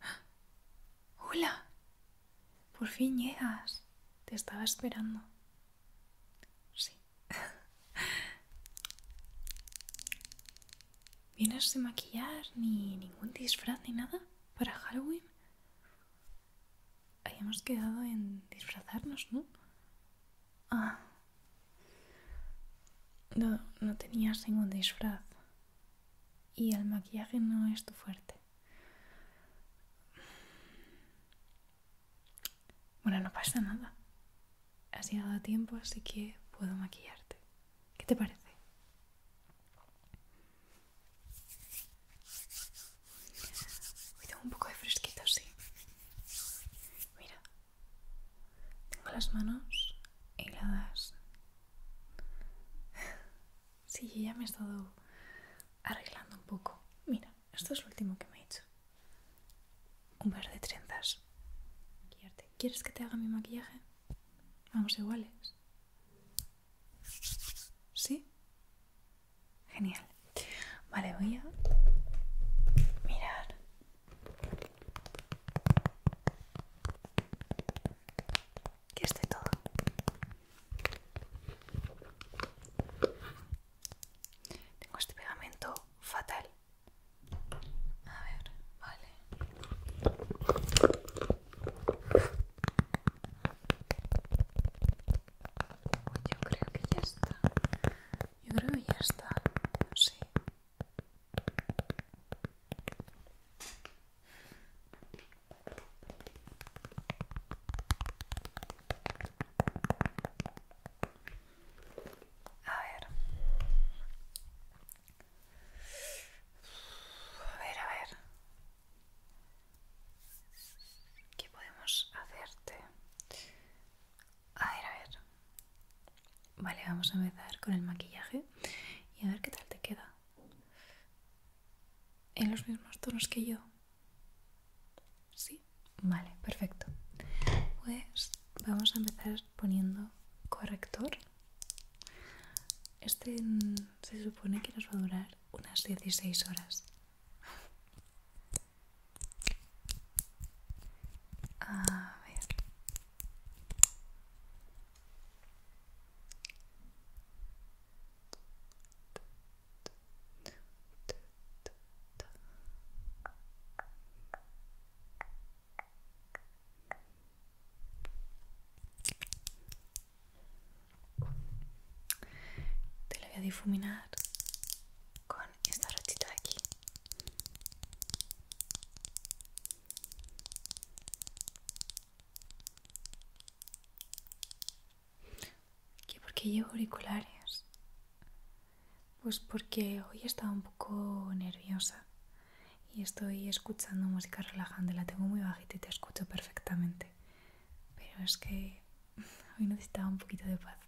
Hola. Por fin llegas. Te estaba esperando. Sí. ¿Vienes de maquillar ni ningún disfraz ni nada para Halloween? Habíamos quedado en disfrazarnos, ¿no? Ah, no, no tenías ningún disfraz y el maquillaje no es tu fuerte. Bueno, no pasa nada. Has llegado a tiempo, así que puedo maquillarte. ¿Qué te parece? un poco de fresquito, sí. Mira, tengo las manos heladas. Sí, ya me he estado arreglando un poco. Mira, esto es lo último que me he hecho. Un par de trenzas. ¿Quieres que te haga mi maquillaje? Vamos iguales. ¿Sí? Genial. Vale, voy a mirar que esté todo. Tengo este pegamento fatal. A ver, vale. Yo creo que ya está. Yo creo que ya está. Sí. A ver. A ver, a ver. ¿Qué podemos hacerte? A ver, a ver. Vale, vamos a empezar con el maquillaje y a ver qué tal te queda. ¿En los mismos tonos que yo? Sí, vale, perfecto. Pues vamos a empezar poniendo corrector. Este se supone que nos va a durar unas 16 horas. A ver. Te lo voy a difuminar con esta rotita de aquí. ¿Por qué llevo auriculares? Pues porque hoy estaba un poco nerviosa y estoy escuchando música relajante. La tengo muy bajita y te escucho perfectamente. Pero es que hoy necesitaba un poquito de paz.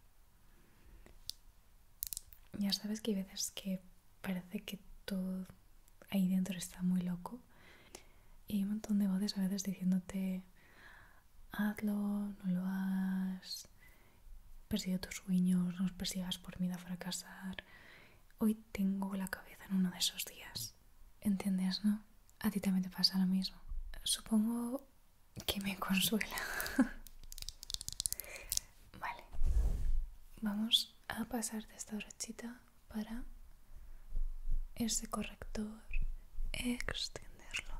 Ya sabes que hay veces que parece que todo ahí dentro está muy loco. Y hay un montón de voces a veces diciéndote, hazlo, no lo has persigue tus sueños, no os persigas por miedo a fracasar. Hoy tengo la cabeza en uno de esos días. ¿Entiendes, no? A ti también te pasa lo mismo. Supongo que me consuela. Vale, vamos a pasar de esta brochita para ese corrector extenderlo.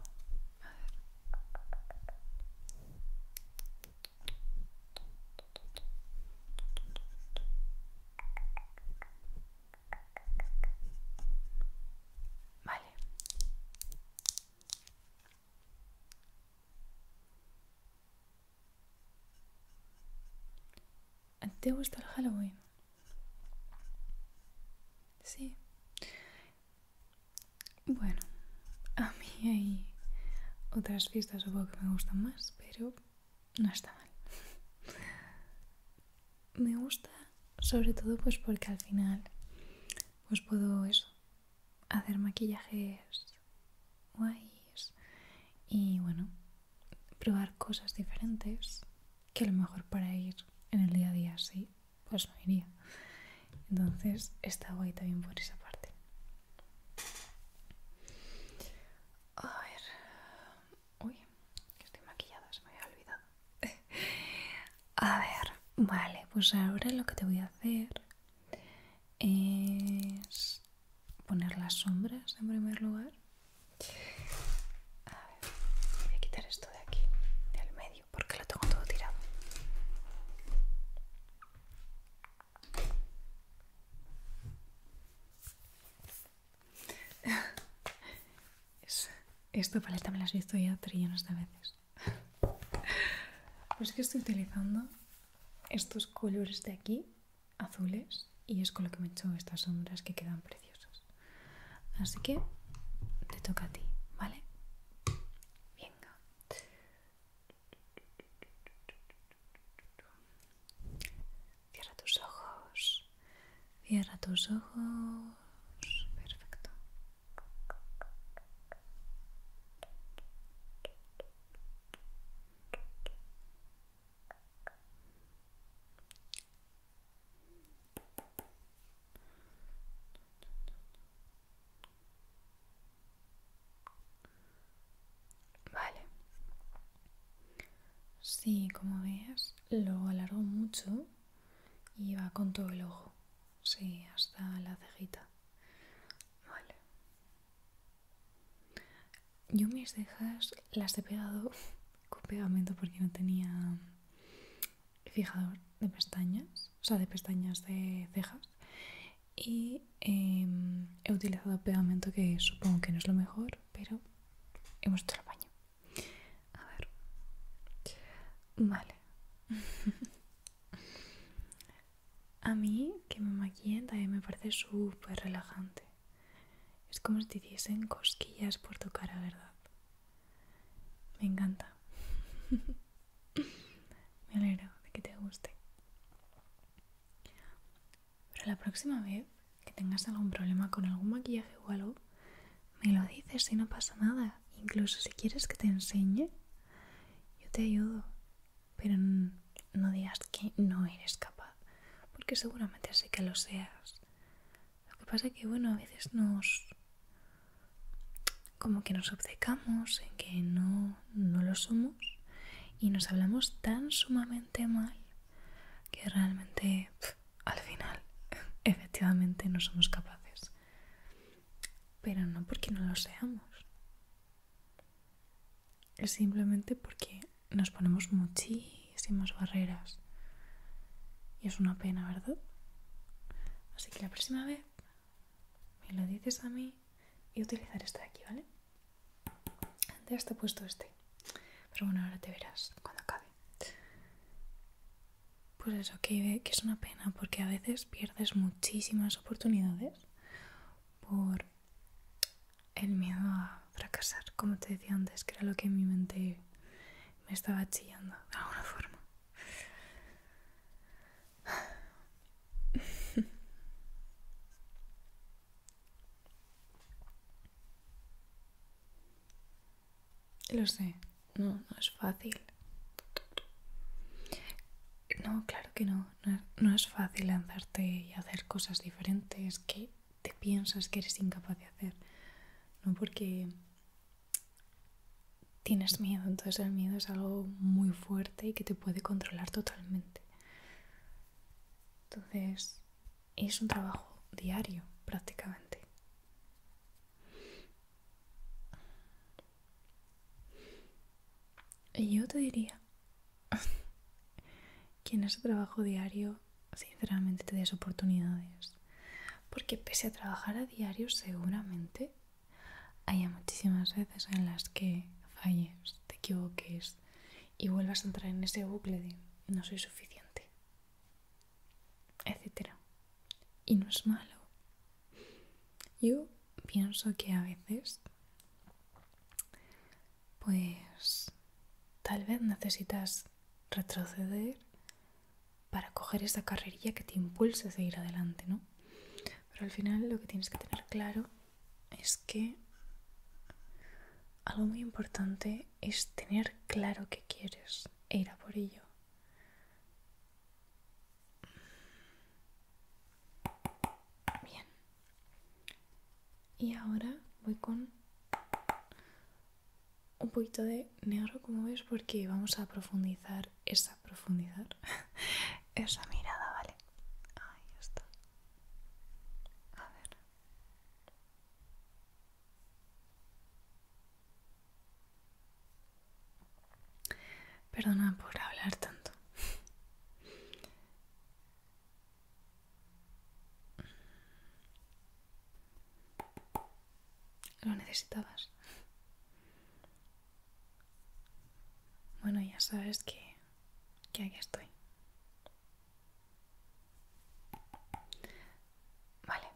Vale, ¿Te gusta el Halloween? Sí. Bueno, a mí hay otras fiestas supongo que me gustan más, pero no está mal. me gusta sobre todo pues porque al final pues puedo eso, hacer maquillajes guays y bueno, probar cosas diferentes que a lo mejor para ir en el día a día sí, pues no iría. Entonces está guay también por esa parte. A ver. Uy, que estoy maquillada, se me había olvidado. a ver, vale, pues ahora lo que te voy a hacer es poner las sombras en primer lugar. A ver, voy a quitar esto de aquí, del medio, porque lo tengo todo tirado. Esto paleta me lo has visto ya trillones de veces. Pues que estoy utilizando estos colores de aquí, azules, y es con lo que me he hecho estas sombras que quedan preciosas. Así que te toca a ti, ¿vale? Venga. Cierra tus ojos. Cierra tus ojos. Perfecto. Vale. Sí, como ves, lo alargo mucho y va con todo el ojo. Sí, hasta la cejita. Vale. Yo mis cejas las he pegado con pegamento porque no tenía fijador de pestañas, o sea, de pestañas de cejas. Y em, he utilizado pegamento que supongo que no es lo mejor, pero hemos hecho el baño. A ver. Vale. A mí que me maquillen también me parece súper relajante. Es como si te hiciesen cosquillas por tu cara, ¿verdad? Me encanta. me alegro de que te guste. Pero la próxima vez que tengas algún problema con algún maquillaje o me lo dices y no pasa nada. Incluso si quieres que te enseñe, yo te ayudo. Pero no digas que no eres capaz, porque seguramente sí que lo seas. Lo que pasa es que, bueno, a veces nos... como que nos obcecamos en que no, no lo somos y nos hablamos tan sumamente mal que realmente al final efectivamente no somos capaces pero no porque no lo seamos. Es simplemente porque nos ponemos muchísimas barreras. Y es una pena, ¿verdad? Así que la próxima vez me lo dices a mí y utilizar este de aquí, ¿vale? Antes te he puesto este. Pero bueno, ahora te verás cuando acabe pues eso, que, que es una pena porque a veces pierdes muchísimas oportunidades por el miedo a fracasar, como te decía antes, que era lo que en mi mente me estaba chillando de alguna forma. Lo sé no, no es fácil. No, claro que no, no, es fácil lanzarte y hacer cosas diferentes que te piensas que eres incapaz de hacer. No porque tienes miedo, entonces el miedo es algo muy fuerte y que te puede controlar totalmente. Entonces, es un trabajo diario prácticamente. Y yo te diría que en ese trabajo diario, sinceramente, te des oportunidades. Porque pese a trabajar a diario, seguramente haya muchísimas veces en las que falles, te equivoques y vuelvas a entrar en ese bucle de no soy suficiente, etcétera y no es malo. Yo pienso que a veces, pues tal vez necesitas retroceder para coger esa carrerilla que te impulse a seguir adelante, ¿no? Pero al final lo que tienes que tener claro es que algo muy importante es tener claro que quieres ir a por ello. Bien. Y ahora voy con un poquito de negro, como ves, porque vamos a profundizar esa profundidad esa mirada, ¿vale? Ahí está. A ver. Perdona por hablar tanto. Lo necesitabas. Bueno, ya sabes que, que aquí estoy. Vale.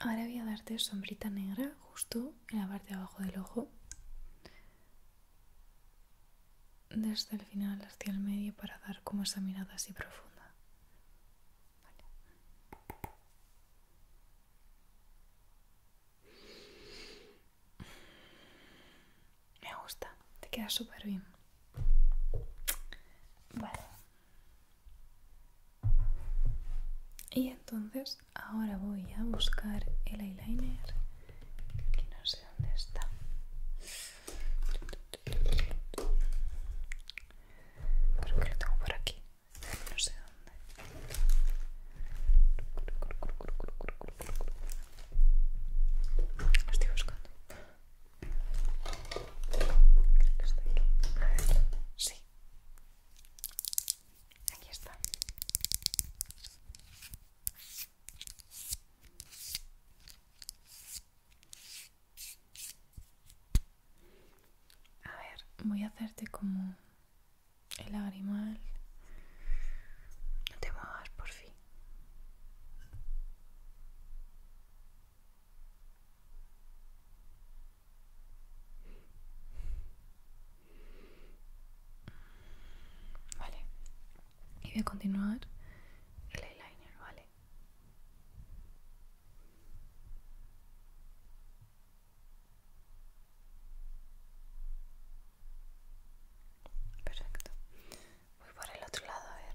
Ahora voy a darte sombrita negra justo en la parte de abajo del ojo. Desde el final hacia el medio para dar como esa mirada así profunda. Me gusta, te queda súper bien. Vale y entonces ahora voy a buscar el eyeliner que no sé dónde está creo que lo tengo por aquí no sé dónde lo estoy buscando creo que está aquí a ver, sí Aquí está. A ver, voy a hacerte como el lagrimal. No te muevas, por fin. Vale. Y voy a continuar el eyeliner, ¿vale? Perfecto. Voy por el otro lado, a ver.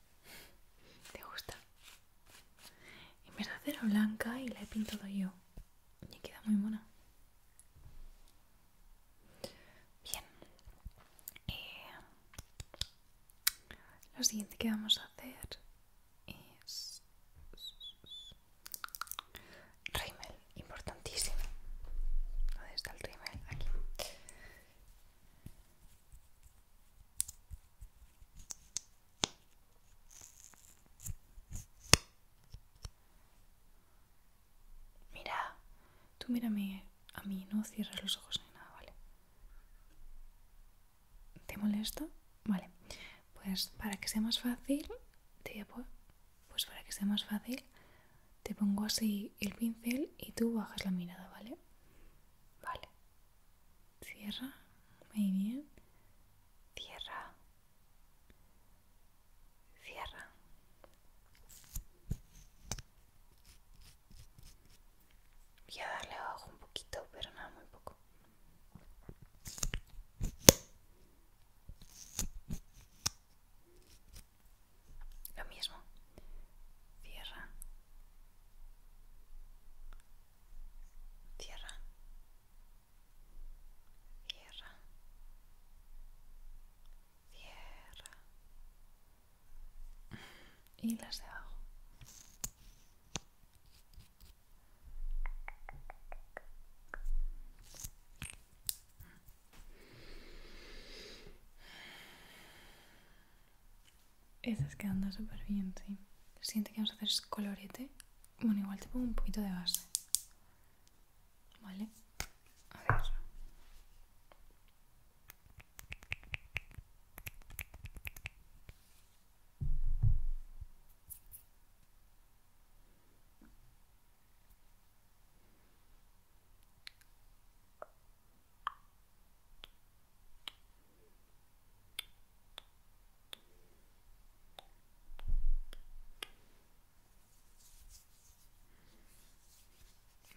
¿Te gusta? En vez de blanca y la he pintado yo. Y queda muy mona. Bien. Eh, lo siguiente que vamos a hacer es... Rimmel, importantísimo. ¿Dónde está el rímel? Aquí. Mira, tú mírame a mí, no cierras los ojos ni nada, ¿vale? ¿Te molesta? Vale, pues para que sea más fácil, te pues para que sea más fácil, te pongo así el pincel y tú bajas la mirada, ¿vale? Vale. Cierra. Muy bien. Cierra. Cierra. Voy a darle abajo un poquito, pero nada, muy poco. Lo mismo. Cierra. Cierra. Cierra. Cierra. Y las de abajo. Estás quedando súper bien, sí. Siente que vamos a hacer colorete. Bueno, igual te pongo un poquito de base. ¿Vale? A ver.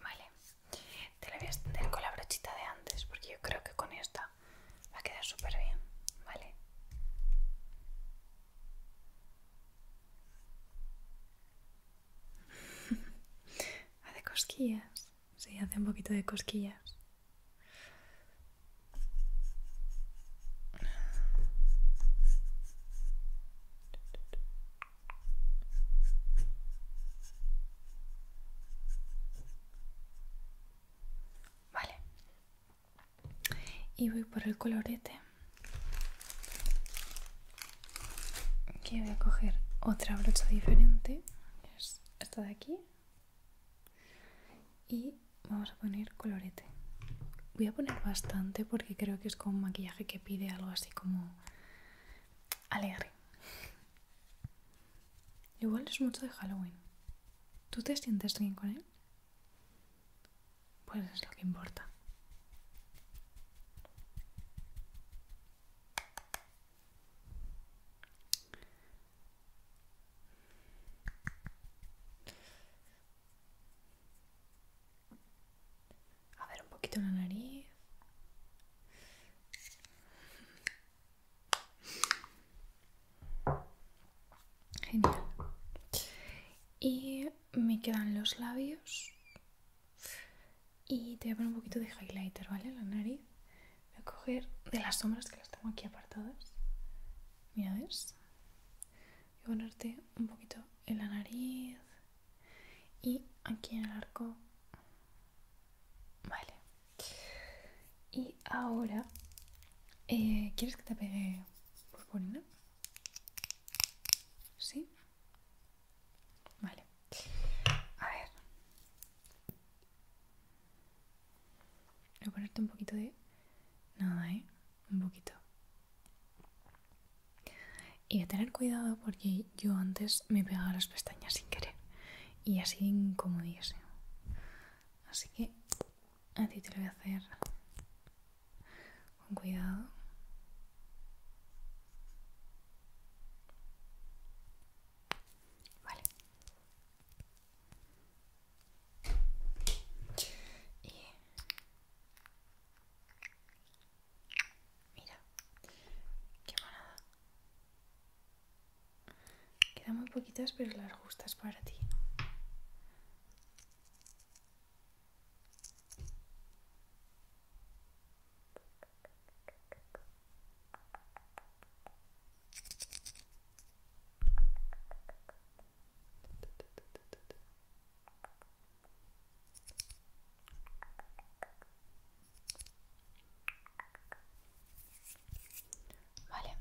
Vale, te la voy a extender con la brochita de antes porque yo creo que con esta va a quedar súper bien, ¿vale? hace cosquillas. Sí, hace un poquito de cosquillas. Vale. Y voy por el colorete. Aquí voy a coger otra brocha diferente, es esta de aquí. Y vamos a poner colorete. Voy a poner bastante porque creo que es como un maquillaje que pide algo así como alegre. Igual es mucho de Halloween. ¿Tú te sientes bien con él? Pues es lo que importa. A ver, un poquito la nariz. Genial. Y me quedan los labios y te voy a poner un poquito de highlighter, ¿vale? En la nariz. Voy a coger de las sombras que las tengo aquí apartadas. Mira, ¿ves? Voy a ponerte un poquito en la nariz y aquí en el arco. Vale. Y ahora, eh, ¿quieres que te pegue purpurina? ¿Sí? Vale. A ver. Voy a ponerte un poquito de... Nada, ¿eh? Un poquito. Y a tener cuidado porque yo antes me pegaba las pestañas sin querer. Y así incomodíase Así que a ti te lo voy a hacer con cuidado. Vale. Mira, qué Quedan muy poquitas, pero las justas para ti. Vale.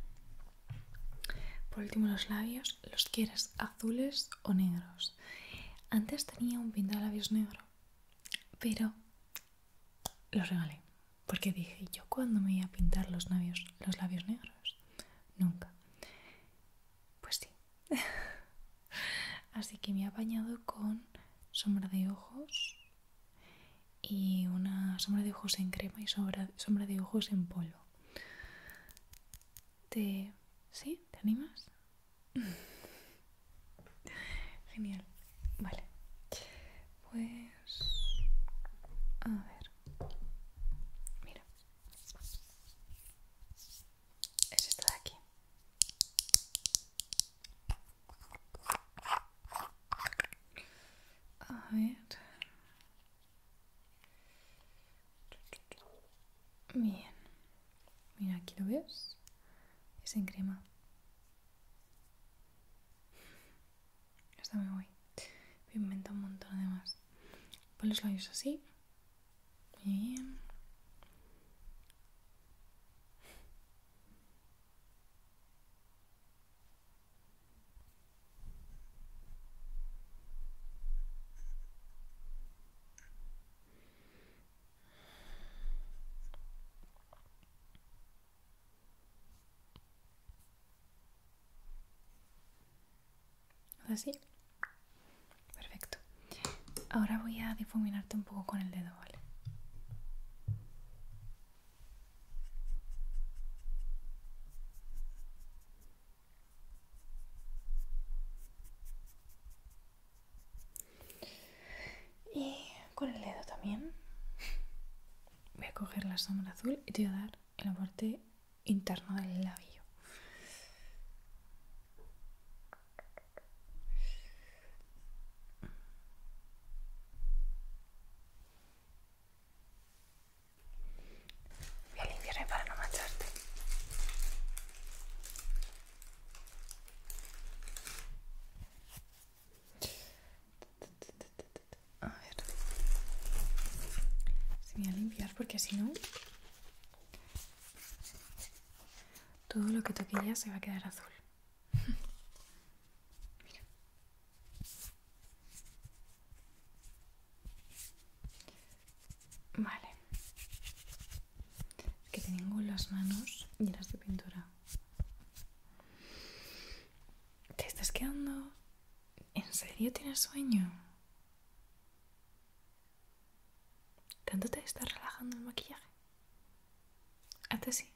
Por último los labios, ¿los quieres azules o negros? Antes tenía un de labios negro, pero los regalé. Porque dije, ¿yo cuando me iba a pintar los labios, los labios negros? Nunca. Pues sí. Así que me he apañado con sombra de ojos y una sombra de ojos en crema y sombra, sombra de ojos en polvo. ¿Te... ¿Sí? ¿Te animas? Genial. Vale. Pues... A ver. Mira. Es esta de aquí. A ver. Bien. Mira, aquí lo ves. Es en crema. Está muy guay. Me inventa un montón además. Pon los labios así. bien. Así. Perfecto. Ahora voy a difuminarte un poco con el dedo, ¿vale? Y con el dedo también voy a coger la sombra azul y te voy a dar en la parte interna del labio. Voy a limpiarme para no mancharte. A ver. Se me va a limpiar porque si no... Todo lo que toquilla ya se va a quedar azul. Vale que tengo las manos llenas de pintura. ¿Te estás quedando? ¿En serio tienes sueño? ¿Tanto te estás relajando el maquillaje? Hazte sí?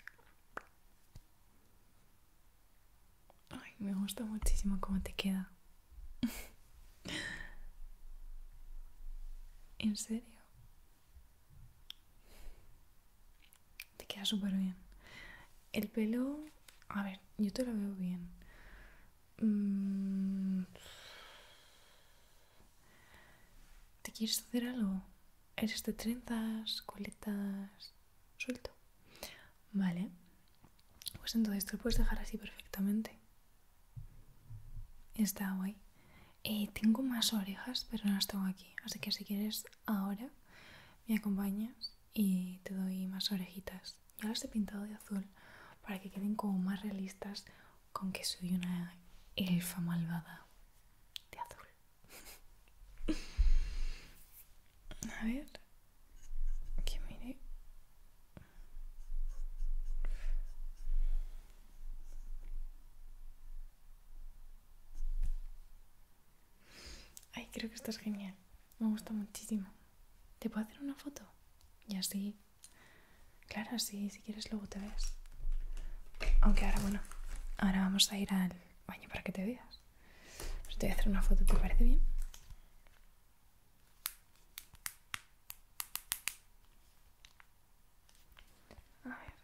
Ay, me gusta muchísimo cómo te queda. ¿En serio? Te queda súper bien. El pelo, a ver, yo te lo veo bien. Mm. ¿Te quieres hacer algo? ¿Eres de trenzas, coletas, suelto? Vale. Pues entonces te lo puedes dejar así perfectamente. Está guay. Eh, tengo más orejas, pero no las tengo aquí. Así que si quieres ahora me acompañas y te doy más orejitas. Ya las he pintado de azul para que queden como más realistas con que soy una elfa malvada de azul. A ver, que mire Ay, creo que esto es genial. Me gusta muchísimo. ¿Te puedo hacer una foto? Y así. Claro, sí, si quieres luego te ves. Aunque ahora, bueno, ahora vamos a ir al baño para que te veas. te voy a hacer una foto, ¿te parece bien? A ver.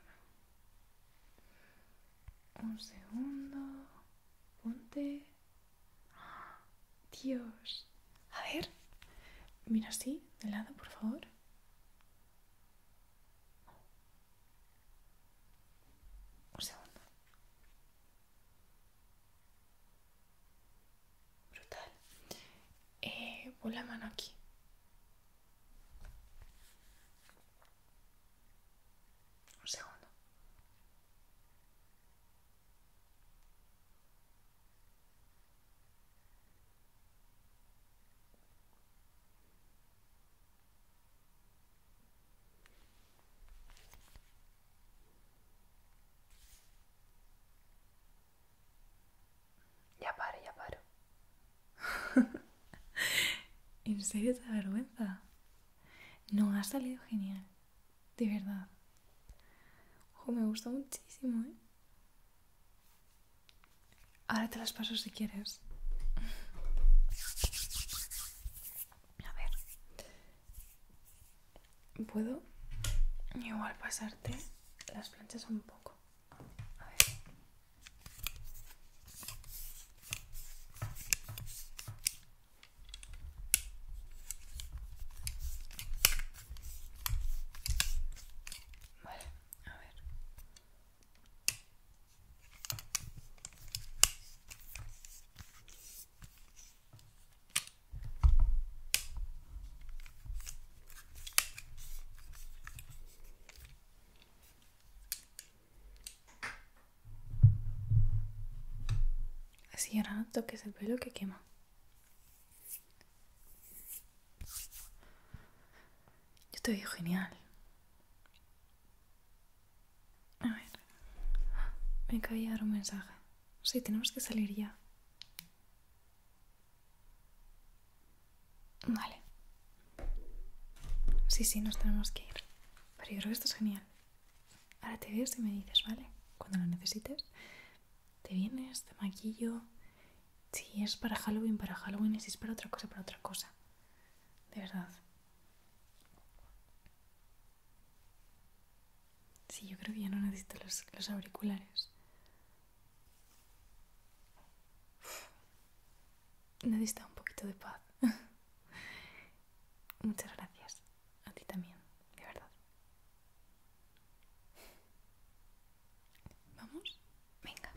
Un segundo. Ponte. Dios. A ver. Mira así, de lado, por favor. Un segundo brutal. Eh, pon mano aquí. Un segundo. Ya paro, ya paro. ¿En serio te da vergüenza? No, ha salido genial. De verdad. Ojo, me gusta muchísimo, ¿eh? Ahora te las paso si quieres. A ver puedo igual pasarte las planchas un poco. a ver. Así ahora toques el pelo que quema. Yo te veo genial. A ver. Me caía a un mensaje. Sí, tenemos que salir ya. Vale. Sí, sí, nos tenemos que ir. Pero yo creo que esto es genial. Ahora te ves y me dices, ¿vale? Cuando lo necesites. Te vienes, te maquillo. Si es para Halloween, para Halloween. Y si es para otra cosa, para otra cosa. De verdad. Sí, yo creo que ya no necesito los, los auriculares. necesito un poquito de paz. Muchas gracias. A ti también, de verdad. ¿Vamos? Venga.